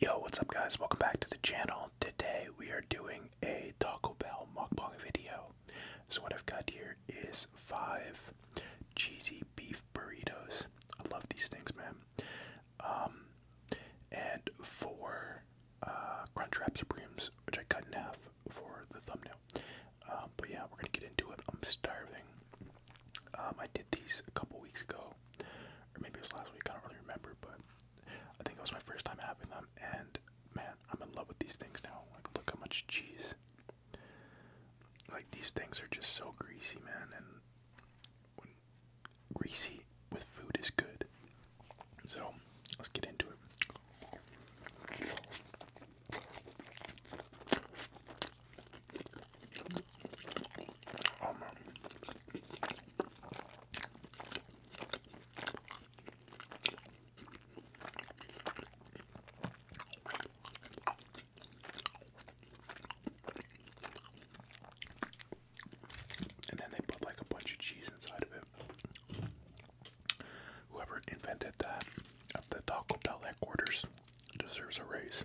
Yo, what's up guys? Welcome back to the channel. Today we are doing a Taco Bell mukbang video. So what I've got here is five cheesy beef burritos. I love these things, man. Um, and four uh, Crunchwrap Supremes, which I cut in half for the thumbnail. Um, but yeah, we're gonna get into it. I'm starving. Um, I did these a couple weeks ago or maybe it was last week. I don't really remember, but I think it was my first time having them, and man, I'm in love with these things now. Like, look how much cheese. Like these things are just so greasy, man, and greasy with food is good. So let's get into it. And then they put like a bunch of cheese inside of it. Whoever invented that at the Taco Bell headquarters deserves a raise.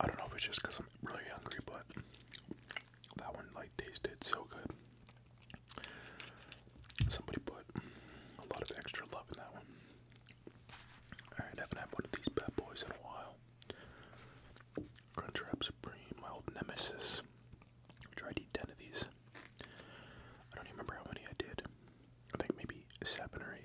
I don't know if it's just because I'm really hungry, but that one like tasted so good. Somebody put a lot of extra love in that one. Alright, haven't had one of these bad boys in a while. Crunchwrap Supreme, my old nemesis tried to eat 10 of these. I don't remember how many I did. I think maybe 7 or 8.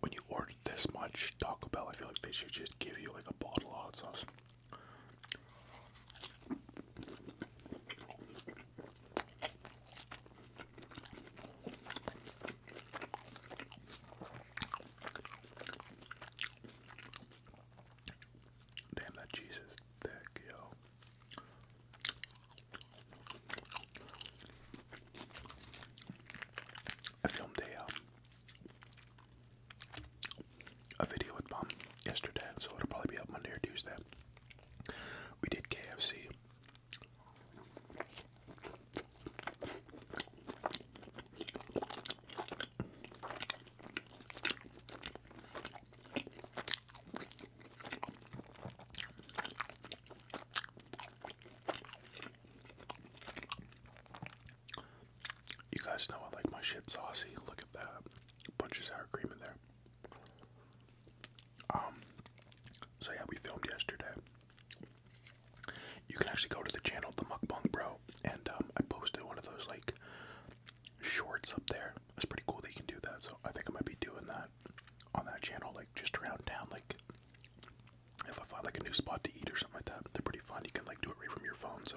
When you order this much Taco Bell, I feel like they should just give you like a bottle of hot sauce. Damn, that cheese is thick, yo. I filmed a um, a video with mom yesterday, so it'll probably be up Monday or Tuesday. We did KFC, you guys know I like my shit saucy. Look at that. Bunch of sour cream in there. Um so yeah, we filmed yesterday you can actually go to the channel the mukbang bro and um, i posted one of those like shorts up there That's pretty cool that you can do that so i think i might be doing that on that channel like just around town like if i find like a new spot to eat or something like that they're pretty fun you can like do it right from your phone so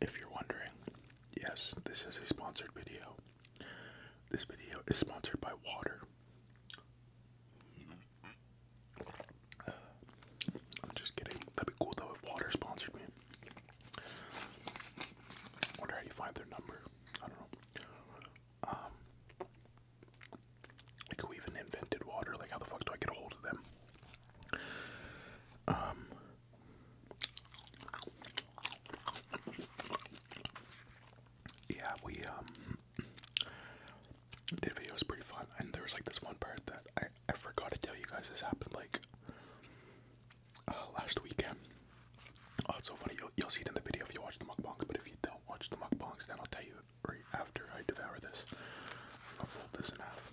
If you're wondering, yes, this is a sponsored video. This video is sponsored by water. I'm just kidding. That'd be cool though if water sponsored me. Wonder how you find their number. I don't know. Um, like who even invented water? Like how the fuck do I get a hold of them? Um, yeah, we um, the video was pretty fun, and there was like this one part that I I forgot to tell you guys. This happened like uh, last weekend. Oh, it's so funny. You'll, you'll see it in the video if you watch the mukbangs, but if you don't watch the mukbangs, then I'll tell you right after I devour this. I'll fold this in half.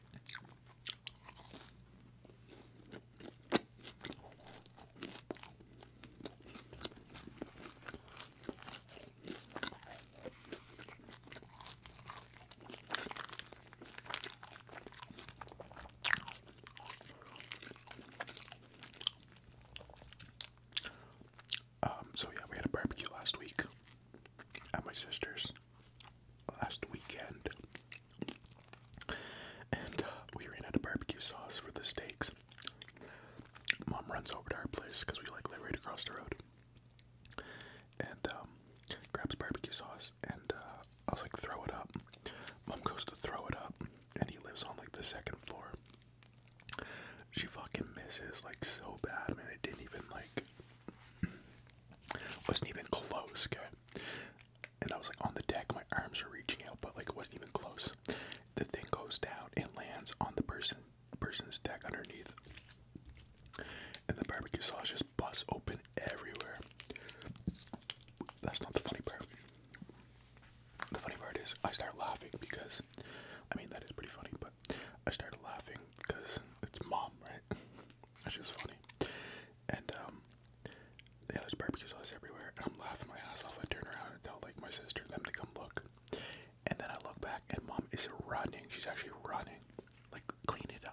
Um, so yeah, we had a barbecue last week at my sister's last weekend, and uh, we ran out of barbecue sauce for the steaks. Mom runs over to our place because we like live right across the road, and um, grabs barbecue sauce, and uh, I was like, throw it up. Mom goes to throw it up, and he lives on like the second floor. She fucking misses like so bad, man. It didn't even like wasn't even close, And I was like on the deck, my arms are reaching out, but like it wasn't even close. The thing goes down and lands on the person person's deck underneath. And the barbecue sauce just busts open everywhere. That's not the funny part. The funny part is I start laughing because I mean that is pretty funny, but I started laughing because it's mom, right? That's just funny. And um, yeah, there's barbecue sauce everywhere. And I'm laughing my ass off. I turn around and tell like my sister them to come look. And then I look back and mom is running. She's actually running. Like clean it up.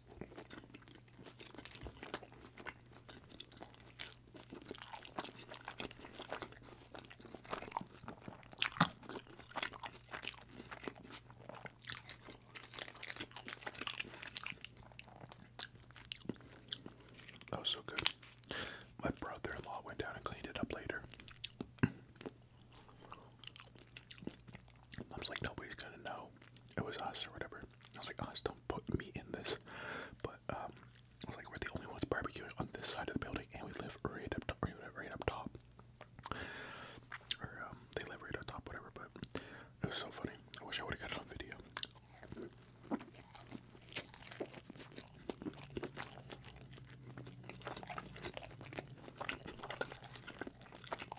That was so good. My brother in law went down and cleaned it up later. Mom's like, nobody's gonna know. It was us or whatever. I was like, us, oh, put me in this, but um, like, we're the only ones barbecuing on this side of the building, and we live right up, right, up top. Or um, they live right up top, whatever. But it was so funny. I wish I would have got a on video.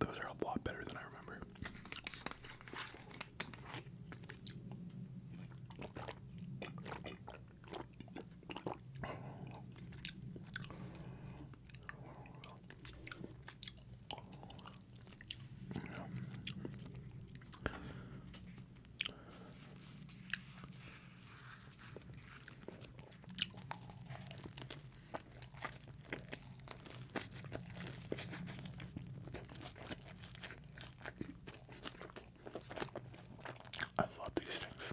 Those are a lot better than I remember. I love these things.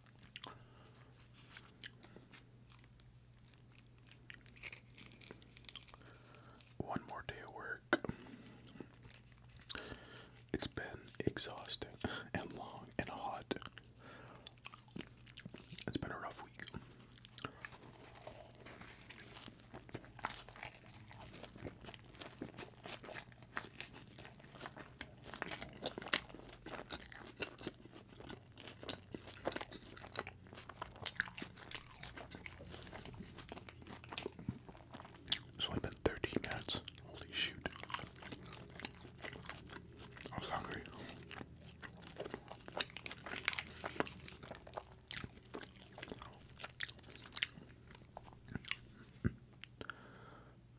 One more day of work. It's been exhausting and long and hot. It's been a rough week. So I've been 13 minutes. Holy shoot. I was hungry.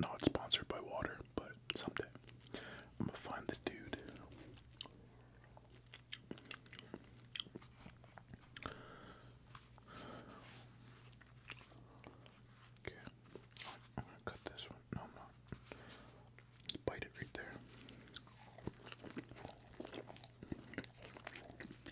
Not sponsored by water, but someday I'm gonna find the dude. Okay, I'm gonna cut this one. No, I'm not. Bite it right there.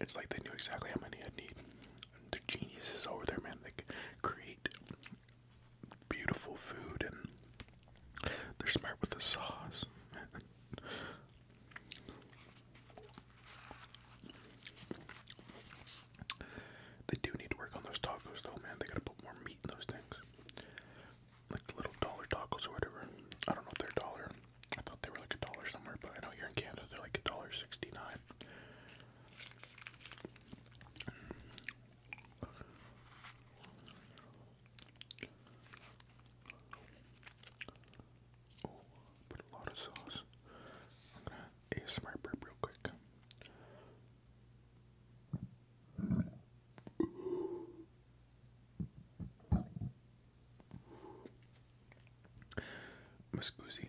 it's like they knew exactly how many I'd need. They're geniuses over there, man. They create beautiful food and they're smart with the sauce. They do need to work on those tacos, though, man. They gotta put more meat in those things. Like the little dollar tacos or whatever. I don't know if they're dollar. I thought they were like a dollar somewhere, but I know here in Canada they're like a dollar sixty-nine. Oh, put a lot of sauce. I'm gonna ASMR burp real quick. Muscoozy.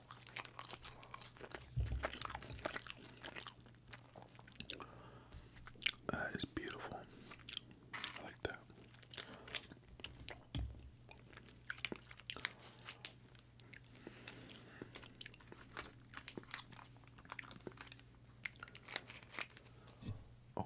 That is beautiful. I like that. Oh.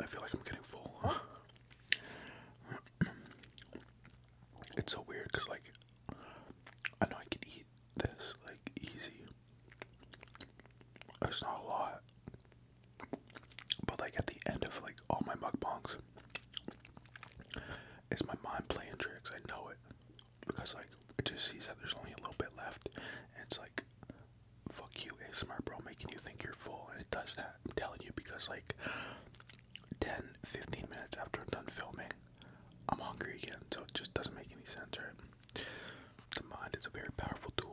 I feel like I'm getting full. it's so weird because, like, I know I could eat this, like, easy. It's not a lot. But, like, at the end of, like, all my mukbangs, it's my mind playing tricks. I know it. Because, like, it just sees that there's only a little bit left. And it's like, fuck you ASMR bro making you think you're full and it does that I'm telling you because like 10 15 minutes after I'm done filming I'm hungry again so it just doesn't make any sense right the mind is a very powerful tool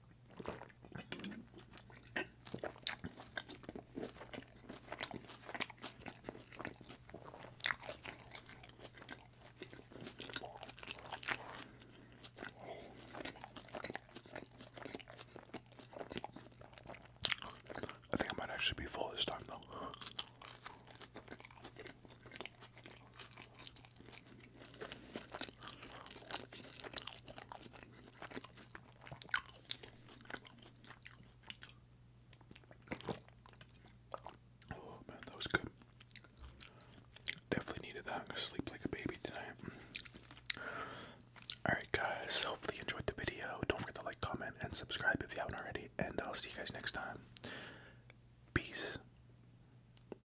I think I might actually be full this time, though. Oh man, that was good. Definitely needed that. I'm gonna sleep like a baby tonight. Alright, guys, hopefully you enjoyed the video. Don't forget to like, comment, and subscribe if you haven't already. And I'll see you guys next time. Peace.